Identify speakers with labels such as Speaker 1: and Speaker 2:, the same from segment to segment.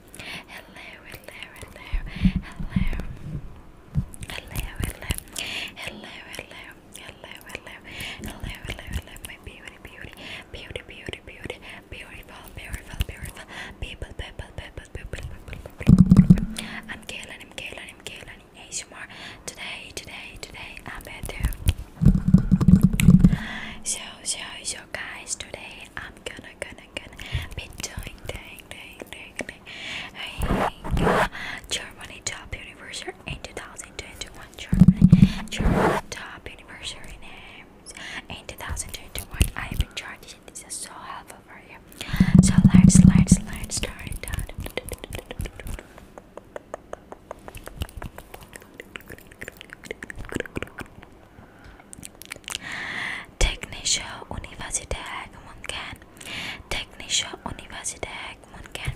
Speaker 1: hello, hello, hello, hello, hello, hello, hello, hello, hello, hello, hello, hello, hello, my beauty, beauty, beauty, beauty, beauty, beautiful, beautiful, beautiful, people, people, people, people, people, I'm killing him, killing him, killing him, ASMR, today, today, today, I'm better. So, so, so guys, today I'm gonna gonna gonna be doing dang dang dang dang I, uh, Germany top anniversary in 2021 Germany Germany top anniversary names in 2021 I've been charging this is so helpful for you so let's let's let's start down Technische Universiteit München. Technische Universität München.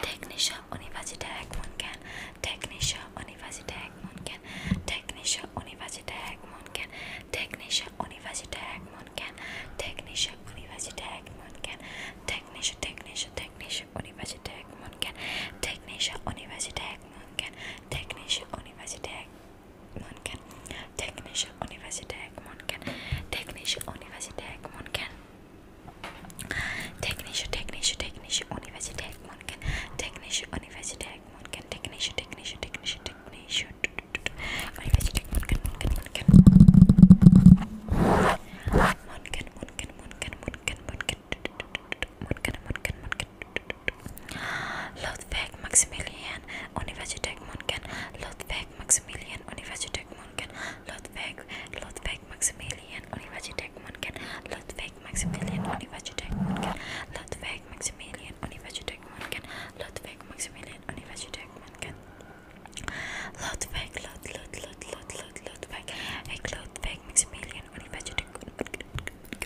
Speaker 1: Technische Universität München. Technische Universität München. Technische Universität München. Technische Universität München. Technische Universität München. Technische, technische, technische Universität München. Technische Universität manken Technische Universität manken Technische Universität manken Technische Universität manken Technische Technische Technische Universität manken Technische Universität manken Technische Technische Technische Technische Universität manken manken manken manken manken Munken, Munken, Munken, Ludwig Maximilian Universität Munken, Ludwig Maximilian Universität Munken, Ludwig, Ludwig Maximilian Universität Munken, Ludwig Maximilian Universität Munken, Ludwig Maximilian Universität Munken, Ludwig Maximilian Universität Munken, Ludwig, Lud, Lud, Lud, Lud, Lud, Ludwig, Ludwig Maximilian Universität Munken.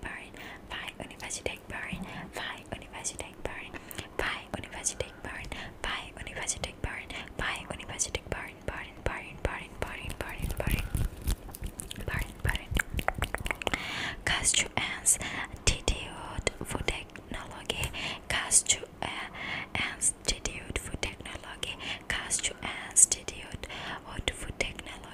Speaker 1: Bern, bei Universität Bern, bei Universität Bern, bei Universität Bern, bei Universität Bern, bei Universität Bern, Bern, Bern, Bern, Bern, Bern, Bern, Bern, Bern. Kastruens Institute for Technology, Kastruens Institute for Technology, Kastruens Institute for Technology.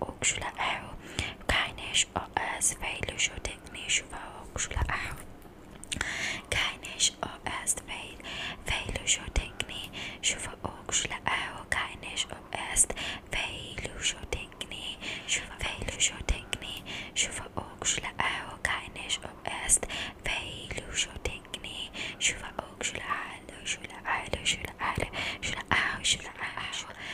Speaker 1: وأكشلاه كاينش أس فيل شو تكني شوفا وأكشلاه كاينش أس فيل فيل شو تكني شوفا وأكشلاه كاينش أس فيل شو تكني شوفا فيل شو تكني شوفا وأكشلاه كاينش أس فيل شو تكني شوفا وأكشلاه شو لا شو لا شو لا شو لا شو لا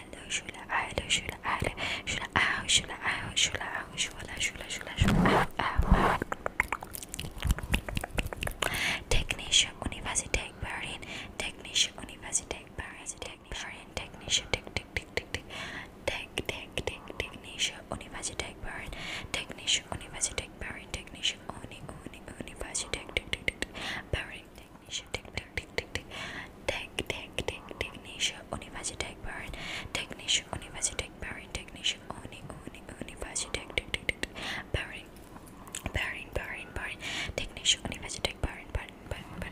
Speaker 1: أعلى شلع أعلى شلع أعلى شلع أعلى شلع أعلى شلع أعلى شلع شلع شلع شلع أعلى Technische Universität Berlin Technische Universität Berlin Technische Tech Tech Tech Tech Tech Tech Tech Technische Universität Berlin Technische Universität Berlin Technische Uni Uni Universität Berlin Technisha, tech, tech, tech, tech, tech, tech, tech, tech, Technisha, Universität Bern, Technische Universität Bern, Technische Uni, Uni, Universität, tech, tech, tech, Bern, Bern, Bern, Bern, Technische Universität Bern, Bern, Bern, Bern.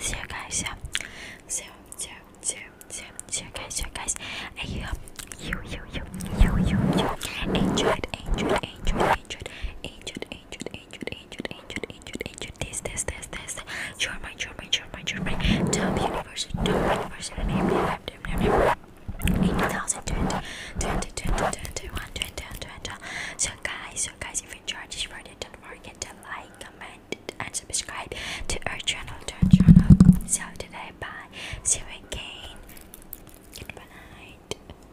Speaker 1: So guys, yeah. so so so so so guys, so guys, I hope you you you you you you enjoyed enjoyed enjoyed enjoyed enjoyed enjoyed ancient, ancient, ancient, ancient, ancient, ancient, this, this, this, this. You're mine, you're mine, you're mine, you're mine. Top university, top university, name, name, name, name, name. 8020, 20, 20, 21, 20, 20. So guys, so guys, if you enjoyed this video, don't forget to like, comment, and subscribe to our channel, to our channel. So today, bye. See you again. Good night.